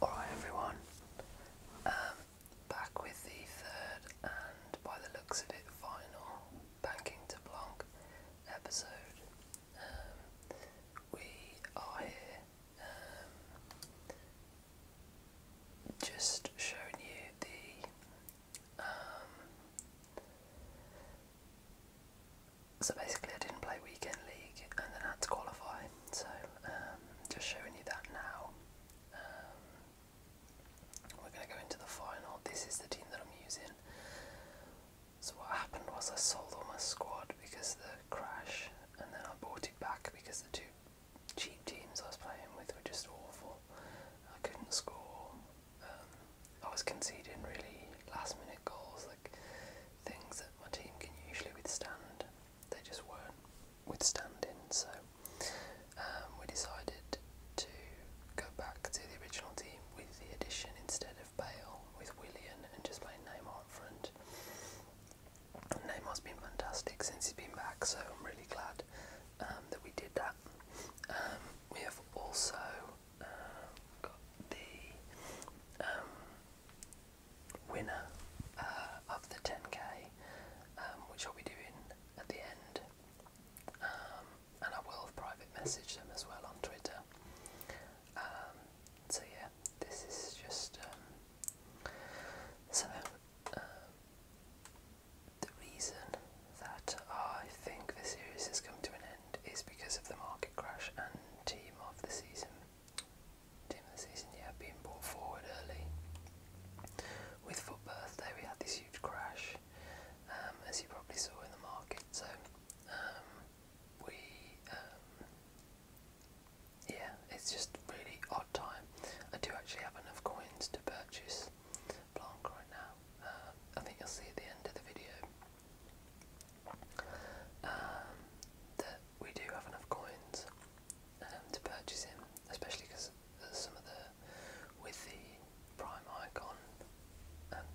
Alright everyone, um, back with the third and by the looks of it final Banking to Blanc episode. Um, we are here um, just showing you the so basically I didn't play weekend league and then I had to qualify so um, just showing you that now um, we're going to go into the final this is the team that I'm using so what happened was I sold all my squad because of the crash and then I bought it back because the two cheap teams I was playing with were just awful I couldn't score um, I was conceding really last minute goals like things that my team can usually withstand. They just weren't withstanding, so um, we decided to go back to the original team with the addition instead of Bale with Willian and just play Neymar on front. And Neymar's been fantastic since he's been back, so I'm really glad um, that we did that. Um, we have also got the winner uh, of the 10k, um, which I'll be doing at the end, um, and I will private message them as well on Twitter. Um, so yeah, this is just so. the reason that I think the series has come to an end is because of the market crash and team of the season. Team of the season, yeah, being brought forward early. With Foot Birthday, we had this huge crash, um, as you probably saw in the market. So, um, we, um, yeah, it's just really odd time. I do actually have enough coins to purchase Blanc right now. Uh, I think you'll see at the end of the video um, that we do have enough coins um, to purchase him, especially because some of the with the prime icon, um,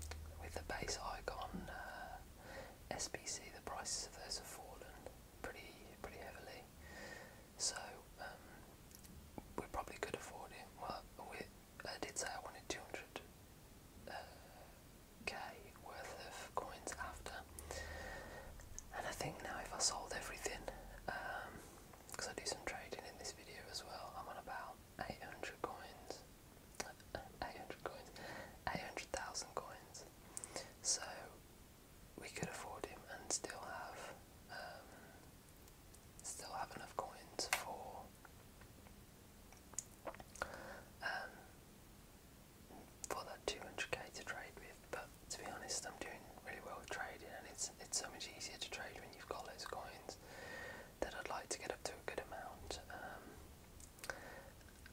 with the base icon uh, SPC, the prices of those have fallen pretty pretty heavily. So um, we probably could afford it. Well, we, I did say I wanted 200. Uh, k worth of coins after. And I think now if I sold everything, because um, I do some trading in this video as well, I'm on about 800 coins, 800 coins, 800,000 coins. So we could afford him and still have, um, still have enough coins for. Um, for that 200k to trade with, but to be honest, I'm doing really well with trading, and it's it's so much easier to trade when you've got loads of coins. That I'd like to get up to a good amount. Um,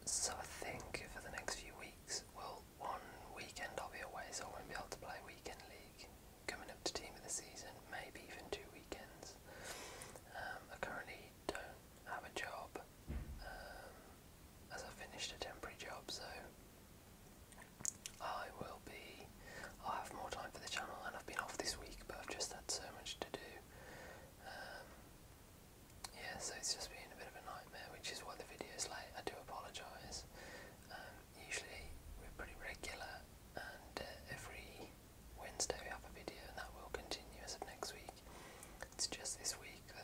so I think for the next few weeks, well, one weekend I'll be away, so I won't be able to play weekend league. Coming up to team of the season, maybe even two weekends. Um, I currently don't have a job um, as I finished a temporary job, so I will be. I'll have more time for the channel, and I've been off this week, but I've just had so much to do. Um, yeah, so it's just been a bit of a nightmare, which is why the video is late. I do apologise. Um, usually we're pretty regular, and uh, every Wednesday we have a video, and that will continue as of next week. It's just this week uh,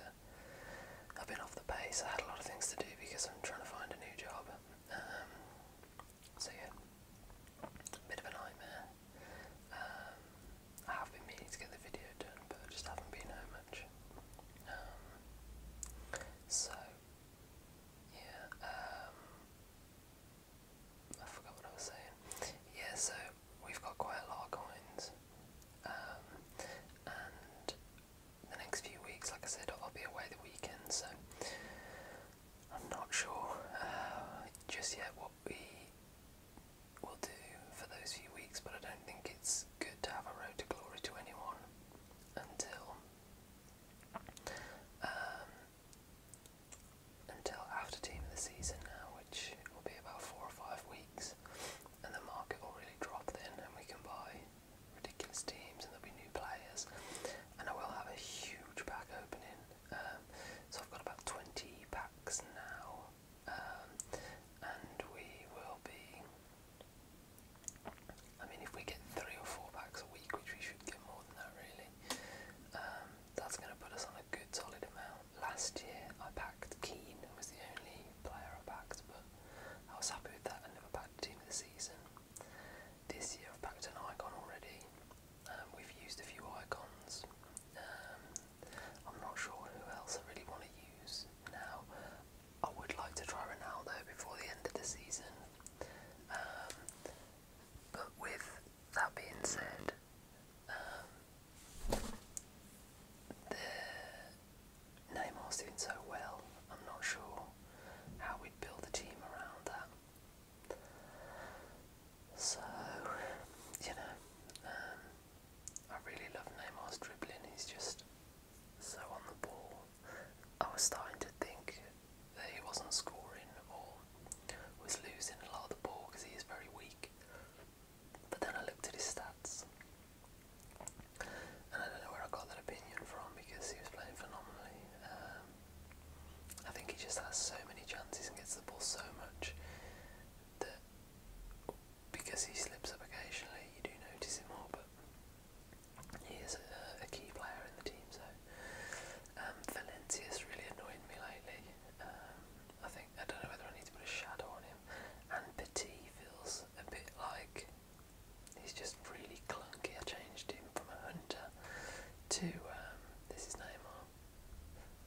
I've been off the pace. I had a lot of things to do because I'm trying to find a new job. Um, so yeah, bit of a nightmare. Um, I have been meaning to get the video done, but just haven't been home much. Um, so yeah, I forgot what I was saying. Yeah, so we've got quite a lot of coins. Um, and the next few weeks, like I said, I'll be away the weekend, so I'm not sure uh, just yet what we will do for those few weeks, but I don't think it's good to have a road to glory to anyone until. Um, until after team of the season now, which will be about four or five weeks and the market will really drop then, and we can buy ridiculous teams, and there'll be new players. And I will have a huge pack opening, um, so I've got about 20 packs now, um, and we will be. I mean, if we get three or four packs a week, which we should get more than that, really, um, that's going to put us on a good solid amount. Last year, I packed Keane, who was the only player i but I was happy with that. I never backed at the of the season. This year I've backed an icon already. Um, we've used a few icons. Um, I'm not sure who else I really want to use now. I would like to try Ronaldo before the end of the season. Um, but with that being said, the Neymar's doing so well, I'm not sure how we'd build a team around that. So, you know, um, I really love Neymar's dribbling, he's just so on the ball. I was starting to think that he wasn't scoring or was losing a lot of the ball because he is very weak. But then I looked at his stats. And I don't know where I got that opinion from because he was playing phenomenally. Um, I think he just has so many chances and gets the ball so much that because he slips up occasionally, you do notice him more. But he is a, a key player in the team. So um, Valencia's really annoyed me lately. Um, I think I don't know whether I need to put a shadow on him. And Petit feels a bit like he's just really clunky. I changed him from a hunter to um, this is Neymar.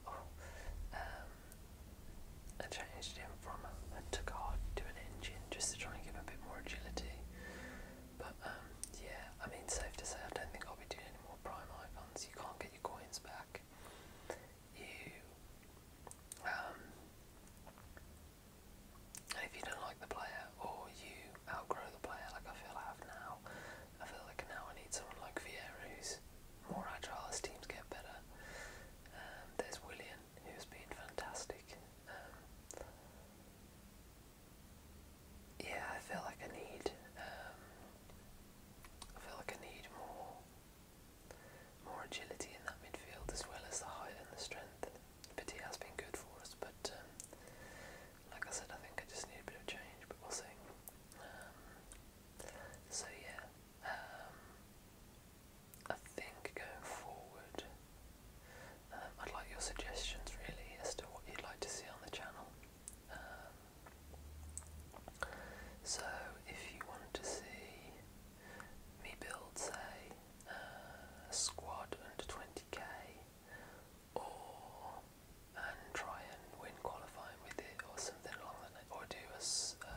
Oh, um, I changed him from a hunter guard to an engine just to try and give him a bit more agility. But um, yeah, I mean, safe to say, I don't think I'll be doing any more prime icons. You can't get your coins back you um, if you don't like the player or you outgrow the player like I feel I have now, I feel like now I need someone like Vieira who's more agile as teams get better. Um, there's William who's been fantastic. Um, yeah, I feel like I need um, I feel like I need more more agility in that midfield as well as the height and the strength. Pity has been good for us, but um, like I said, I think I just need a bit of change, but we'll see. Um, so yeah, um, I think going forward, um, I'd like your suggestions really as to what you'd like to see on the channel. Um, so if you want to see me build say a squad under 20k or and try and win qualifying with it or something along that line. or do us uh,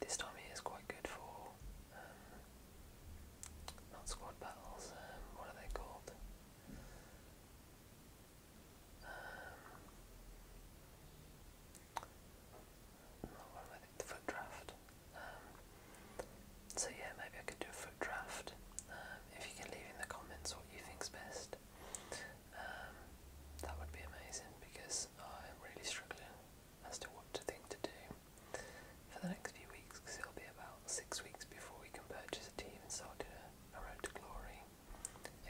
this time of year is quite good for um, not squad battles um, what are they called um, not one with the foot draft. Um, so yeah, maybe I could do a foot draft. Um, if you can leave in the comments what you think's best, um, that would be amazing because I'm really struggling as to what to think to do for the next few weeks because it'll be about six weeks before we can purchase a team and start doing a, a road to glory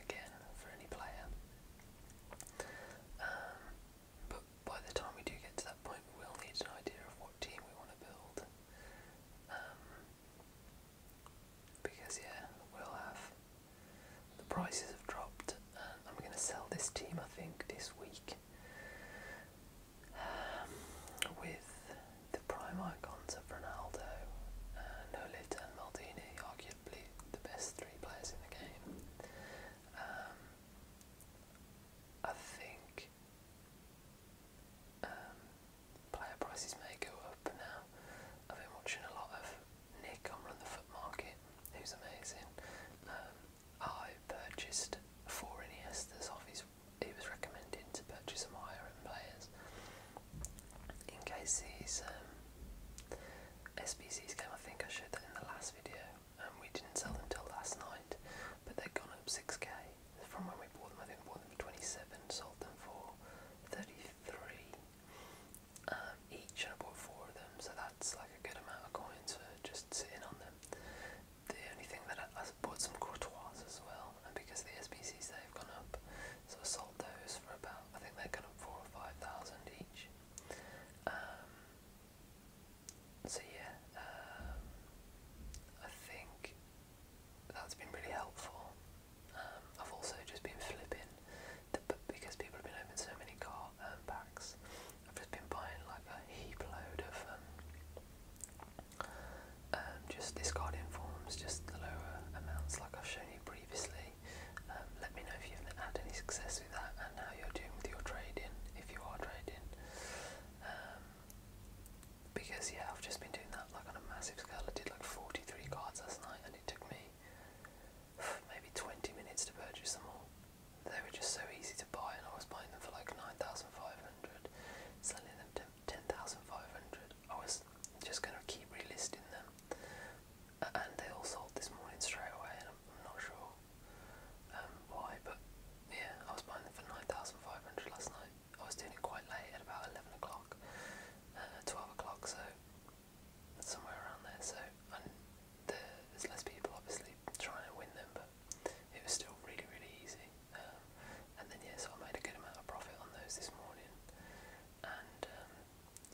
again for any player. Um, but by the time we do get to that point, we'll need an idea of what team we want to build. Um, because, yeah, we'll have. The prices have dropped, and I'm going to sell this team, I think, this week. Um, with the prime icons of Ronaldo, uh, Nolit, and Maldini, arguably the best three players in the game. Um, I think um, player prices may go up now. I've been watching a lot of Nick on Run the Foot Market, who's amazing. Um, I purchased four Iniestas off his. He was recommended to purchase some higher end players in case he's um, SBC's game, I think I showed that in the last video, and um, we didn't sell them till last night, but they've gone up 6k from when we bought them. I think we bought them for 27, sold them for 33 um, each, and I bought four of them, so that's like a good amount of coins for just sitting on them. The only thing that I, I bought some courtois as well, and because the SBC's they've gone up, so I sold those for about, I think they've gone up 4 or 5,000 each. Um, so yeah, um, I think that's been really helpful. Um, I've also just been flipping, the, because people have been opening so many car um, packs, I've just been buying like a heap load of um, um, just discarding forms, just the lower amounts like I've shown you previously today. Um, let me know if you've had any success with that and how you're doing with your trading, if you are trading. Um, because yeah, I've just been doing that like on a massive scale. I did like 43 cards last night and it took me maybe 20 minutes to purchase them all. They were just so easy to buy and I was buying them for like 9,500, selling them to 10,500. I was just going to keep relisting them and they all sold this morning straight away, and I'm, I'm not sure um, why, but yeah, I was buying them for 9,500 last night. I was doing it quite late at about 11 o'clock, uh, 12 o'clock, so somewhere around there. So and the, there's less people obviously trying to win them, but it was still really, really easy. Um, and then, yeah, so I made a good amount of profit on those this morning, and um,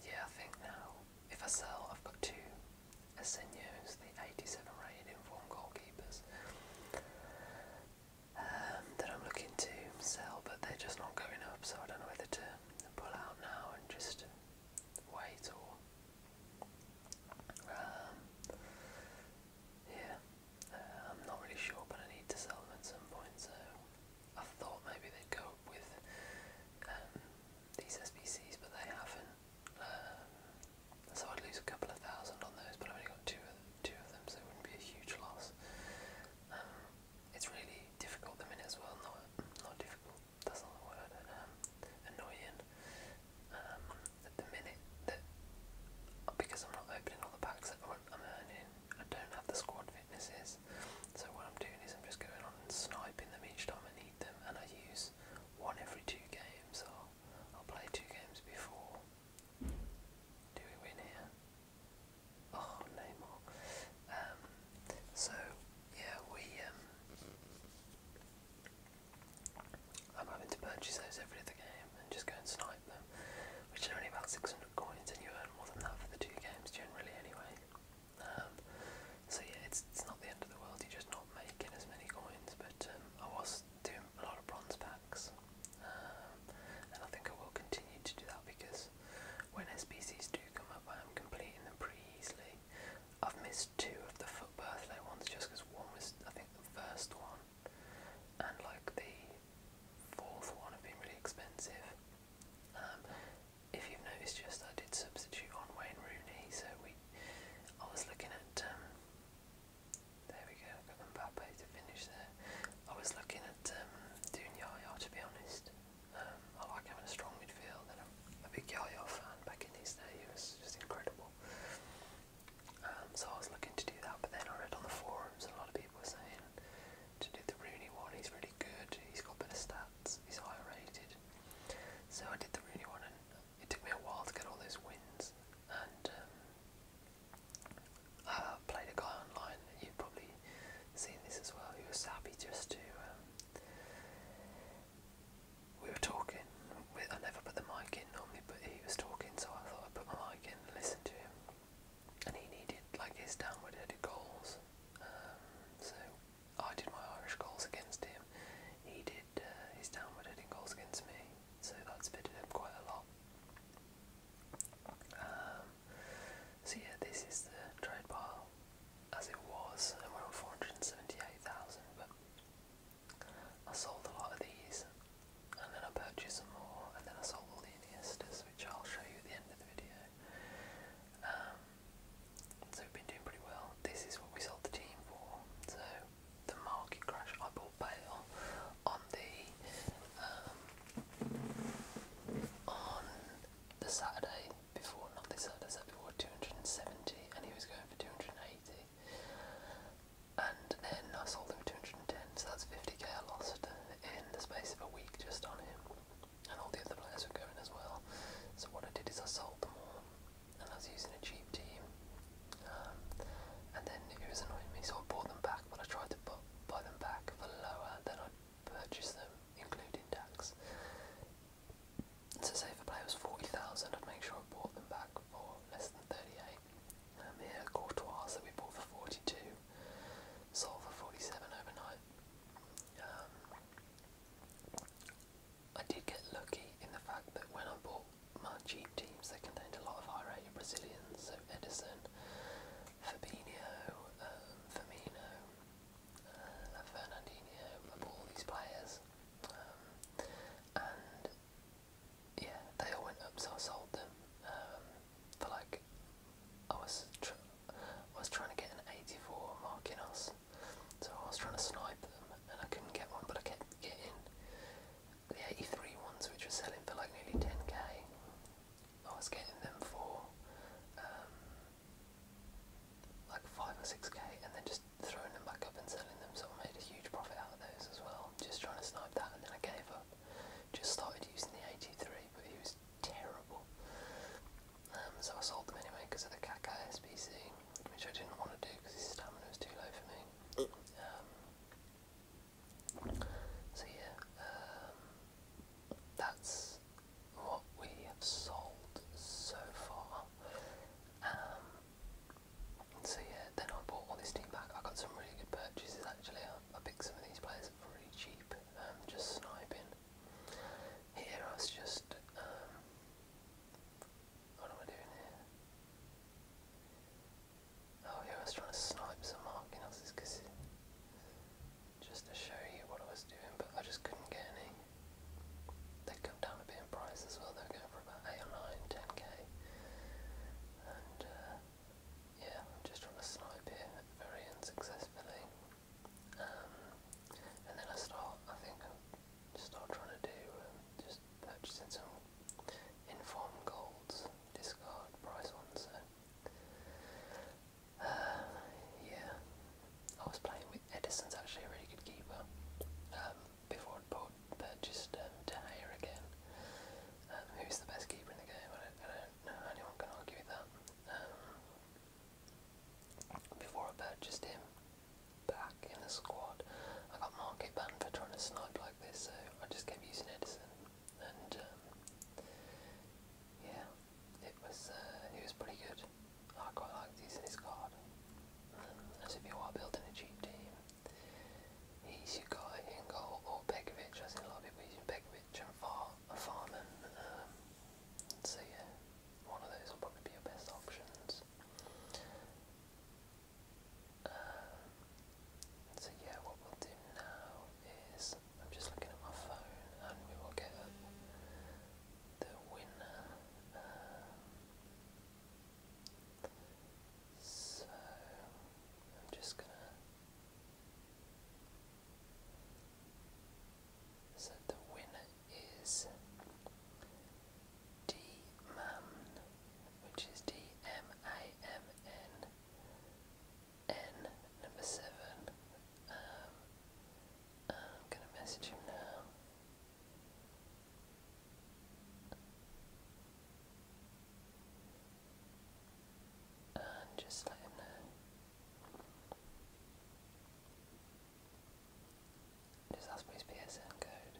yeah, I think now, if I sell, I've got two Asenio's, the 87 rated informed goalkeepers um, that I'm looking to sell, but they're just not going up, so I don't know whether to pull out now and just wait or. Um, yeah, uh, I'm not really sure, but I need to sell them at some point, so I thought maybe they'd go up with um, these SPCs, but they haven't. Um, so I'd lose a couple of thousand on those, but I've only got two of, two of them, so it wouldn't be a huge loss. Um, it's really difficult the minute as well. Not not difficult. That's not the word. Um, annoying the minute that because I'm not opening all the packs that I'm earning, I don't have the squad fitnesses. So what I'm doing is I'm just going on sniping them each time I complete them and I use one every two games or I'll play two games before. Do we win here? Oh, Neymar. Um, so, yeah, we, um, I'm having to purchase those every other game and just go and snipe them, which are only about 600 coins and you earn more than that for the two games generally anyway. Um, so yeah, it's it's not the end of the world. You're just not making as many coins, but um, I was doing a lot of bronze packs, um, and I think I will continue to do that because when SBCs do come up, I am completing them pretty easily. I've missed two of the foot birthday ones just because one was I think the first one, and like the fourth one have been really expensive. Um, if you've noticed, just I did substitute on Wayne Rooney, so we I was looking at um, there we go, I've got Mbappe to finish there. I was looking at um, doing Yaya to be honest. Um, I like having a strong midfield, and I'm a big Yaya fan. Back in his day, he was just incredible. Um, so I was looking to do that, but then I read on the forums a lot of people were saying to do the Rooney one. He's really good. He's got better stats. Cats is higher rated. So I did the really one, and it took me a while to get all those wins. And um, I played a guy online, you've probably seen this as well, who was happy just to. Um, we were talking, I never put the mic in normally, but he was talking, so I thought I'd put my mic in and listen to him. And he needed like his downward headed goals. Um, so I did my Irish goals against him. He did He's uh, his downward hitting goals against me, so that's fitted him quite a lot. Um, so yeah, this is the trade pile as it was, and we're on 478,000, but I sold a lot of these, and then I purchased some more, and then I sold all the Iniestas, which I'll show you at the end of the video. Um, so we've been doing pretty well. This is what we sold the team for. So the market crash, I bought bail on the um, on the Saturday before, not this Saturday, before, 270, and he was going for 280. And then I sold him 210, so that's 50k I lost in the space of a week just on him. And all the other players were going as well. So what I did is I sold them all and I was using a cheap team. Um, and then it was annoying me, so I bought them back, but I tried to buy them back for lower than I purchased them, including tax. So say if a player was 40,000, I'd make sure I bought them back for less than 38. Um, here, Courtois that we bought for 42, sold for 47 overnight. Um, I did get lucky in the fact that when I bought my cheap teams, they contained a lot of high rated Brazilians, so Edison, Fabinho, um, Firmino, uh, Fernandinho, I all these players. Um, and yeah, they all went up, so I sold them. Um, for like, I was, I was trying to get an 84 Marquinhos so I was trying to snipe them and I couldn't get one, but I kept getting the 83 ones which were selling for like nearly 10k. I was getting them for um, like 5 or 6k and then just throwing them back up and selling them, so I made a huge profit out of those as well. Just trying to snipe that and then I gave up. Just started using the 83, but he was terrible. Um, so I sold them anyway because of the Kakai SPC, which I didn't want to do because his stamina was too low for me. Um, so yeah, um, that's what we have sold so far. so yeah, then I bought all this team back. I got some really good purchases actually. I, picked some of these players up really cheap, um, just sniping. Here I was just what am I doing here? Oh yeah, I was trying to snipe some marking else's kisses just to show you what I was doing, but I just couldn't get any. They have come down a bit in price as well, they're going for about 8 or 9, 10k. And uh, yeah, I'm just trying to snipe here very unsuccessfully. Um, and then I start, I think just not trying to do, um, just purchasing some informed golds, discard price on, so. Uh, yeah, I was playing with Edison's actually a really good keeper um, before I bought, purchased um, again, um, who's the best keeper in the game, I don't, know, anyone can argue with that. Before I purchased him back in the squad, I got market banned for trying to snipe like this, so I just kept using Edison, and um, yeah, it was uh, it was pretty good. I quite liked using his card. And as if you are building a cheap team, he's your guy in goal or Begovic. I seen a lot of people using Begovic and Far Farman. Um, so yeah, one of those will probably be your best options. Um, so yeah, what we'll do now is I'm just looking at my phone, and we will get up the winner. so I'm just gonna set the winner is d which is D-M-A-M-N, N number seven. Um, I'm gonna message him now. And just let him know. Just ask for his PSN code.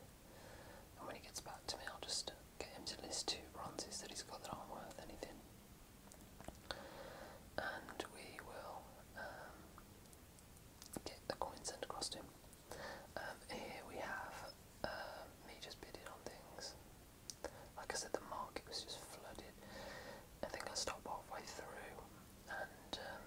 And when he gets back to me, I'll just get him to list two bronzes that he's got that aren't worth anything. And we will um, get the coin sent across to him. Um, here we have um, me just bidding on things. Like I said, the market was just flooded. I think I stopped halfway through and um,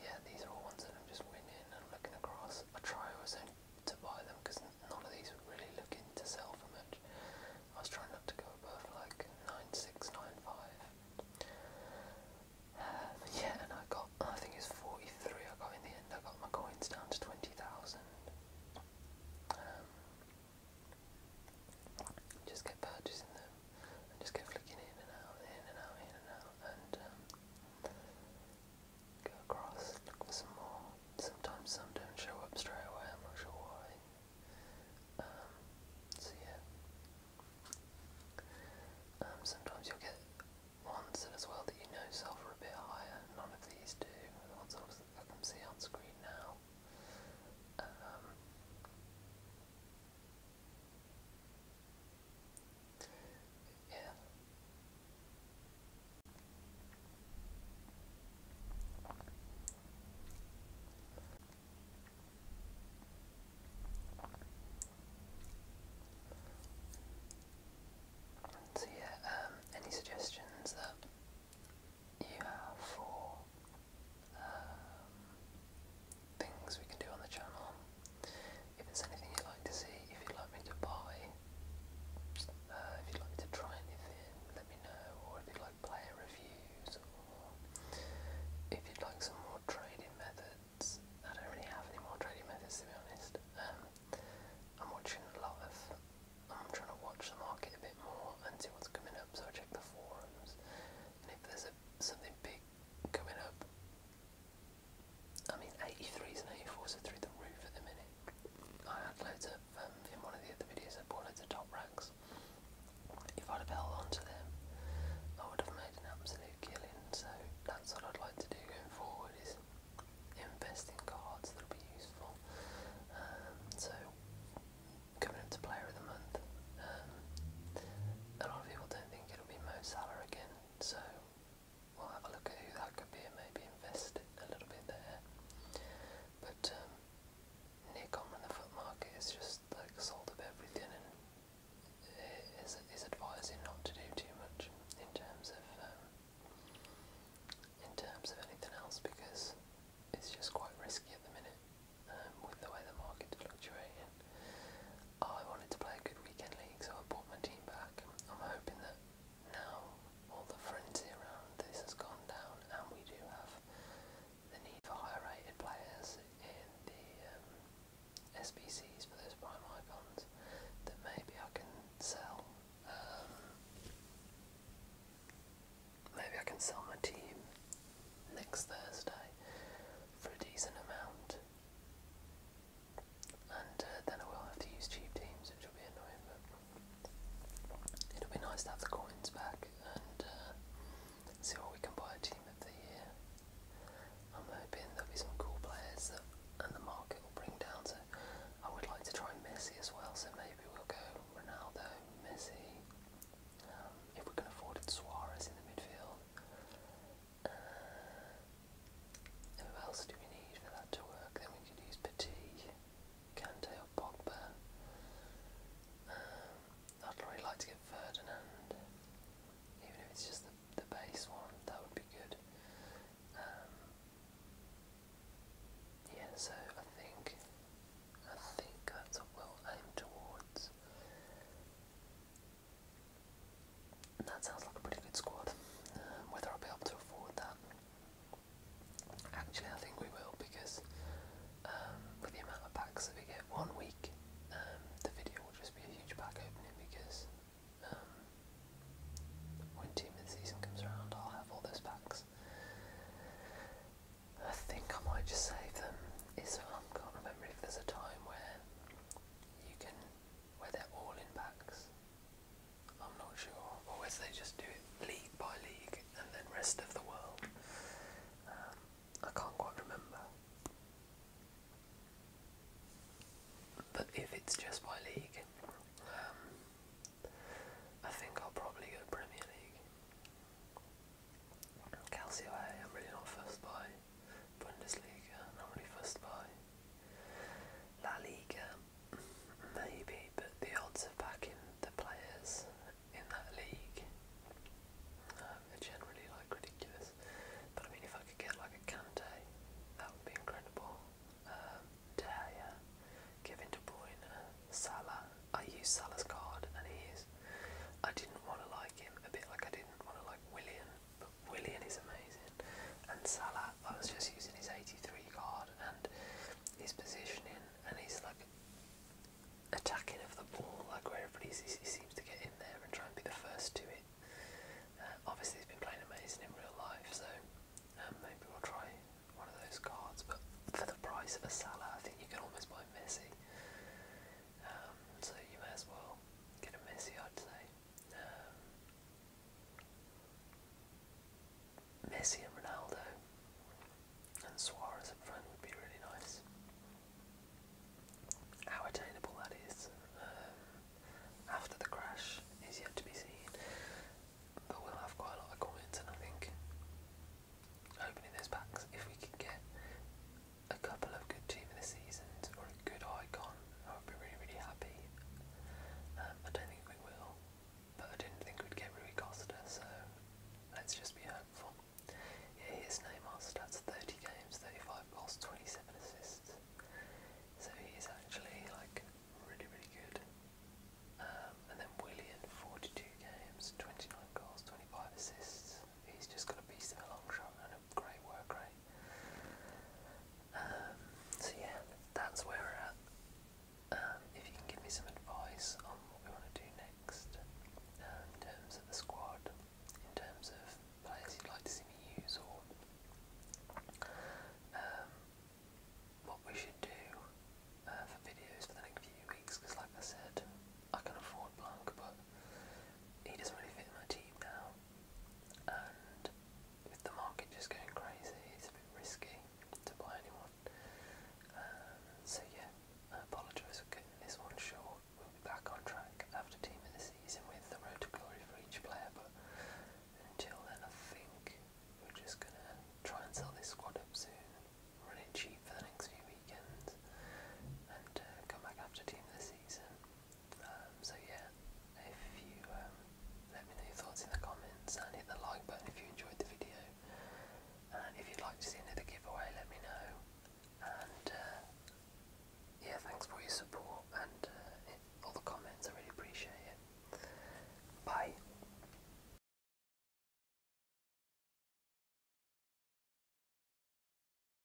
yeah, these are all ones that I'm just winning and looking across. I try always to buy them because none of these were really looking to sell for much. I was trying not to go above like 9695. Uh, yeah, and I got, I think it's 43 I got in the end. I got my coins down to 20,000. Um, just get purchasing them just go flicking in and out, in and out, in and out, and um, go across, for some more. Sometimes some don't show up straight away, I'm not sure why. Um, so yeah. Um, sometimes you'll get ones that as well that you know self are a bit higher. None of these do. The ones I can see on screen now. So yeah, um, any suggestions that you have for um, things we can do on the channel. If there's anything you'd like to see, if you'd like me to buy, uh, if you'd like me to try anything, let me know, or if you'd like player reviews, or if you'd like some more trading methods. I don't really have any more trading methods to be honest. Um, I'm watching a lot of, I'm trying to watch the market a bit more and see what's coming up, so I check the forums, and if there's a, something big going up. I mean, 83s and 84s are through the roof at the minute. I had loads of, um, in one of the other videos, I bought loads of top racks. If I'd have held on them, I would have made an absolute killing. So that's what I'd like to do going forward is invest in cards that'll be useful. Um, so coming up to Player of the Month, um, a lot of people don't think it it'll be Mo Salah again, so we'll have a look at who that could be and maybe invest a little bit there. But um, Nick on the foot market is just like sold up everything and is, is advising not to do too much in terms of um, in terms of anything else because it's just quite risky at the minute um, with the way the market's fluctuating. Oh, I wanted to play a good weekend league, so I bought my team back. I'm hoping that now all the frenzy around this has gone down, and we do have the need for higher rated players in the um, SBCs for those prime icons that maybe I can sell. Um, maybe I can sell my team next Thursday for a decent amount and uh, then I will have to use cheap teams, which will be annoying, but it'll be nice to have the coins back and uh, see what we can buy a team of the year. I'm hoping there'll be some cool players that, and the market will bring down, so I would like to try Messi as well, so maybe we'll go Ronaldo, Messi, um, if we can afford it, Suarez in the midfield. Who else do we need for that to work? Then we could use Petit, Kante Pogba. Um, I'd really like to get Ferdinand, even if it's just the, the base one, that would be good. Um, yeah, so I think I think that's what we'll aim towards that sounds like a pretty good squad. Um, whether I'll be able to afford that, actually, I think we will because um, with the amount of packs that we get one week, um, the video will just be a huge pack opening because when Team of the Season comes around, I'll have all those packs. I think I might just save them. Is I can't remember if there's a time where you can, where they're all in packs. I'm not sure, or whether they just do it league by league and then rest of the world. Um, I can't quite remember. But if it's just by league, um, I think I'll probably go Premier League. Calcio A, I'm really not fussed by. Bundesliga, not really fussed by. La Liga, maybe, but the odds of backing the players in that league um, are generally like ridiculous. But I mean, if I could get like a Kante, that would be incredible. Um, De Gea, Kevin De Bruyne, Salah. I used Salah's card, and he is. I didn't want to like him a bit like I didn't want to like Willian but Willian is amazing. And Salah, I was just using his 83 card and his positioning and his like attacking of the ball, like wherever he seems to get in there and try and be the first to it. Uh, obviously, he's been playing amazing in real life, so um, maybe we'll try one of those cards. But for the price of a Salah, I think you can almost buy Messi. Um, so you may as well get Messi, I'd say. Um, Messi and Ronaldo and Suarez up front would be really nice. How attainable that is um, after the crash is yet to be seen, but we'll have quite a lot of coins, and I think opening those packs, if we could get a couple of good team of the seasons or a good icon, I would be really, really happy. Um, I don't think we will, but I didn't think we'd get Rui Costa, so let's just be hopeful. Yeah, here's Neymar's stats 30 games, 35 goals, 27 assists. So he's actually like really, really good. Um, and then Willian, 42 games, 29 goals, 25 assists. He's just got a beast of a long shot and a great work rate. Eh? Um, so yeah, that's where we're at. Um, if you can give me some advice on what we want to do next um, in terms of the squad, in terms of players you'd like to see me use, or um, what we should do uh, for videos for the next few weeks, because like I said, I can afford blank, but he doesn't really fit my team now, and with the market just going crazy, it's a bit risky to buy anyone. Um, so yeah, I apologise for cutting this one short. We'll be back on track after team of the season with the road to glory for each player, but until then, I think we're just gonna try and sell this squad up soon, run it cheap for the next few weekends, and uh, come back after team of the season um, so yeah, if you um, let me know your thoughts in the comments and hit the like button if you enjoyed the video. And if you'd like to see another giveaway, let me know. And uh, yeah, thanks for your support and uh, all the comments. I really appreciate it. Bye.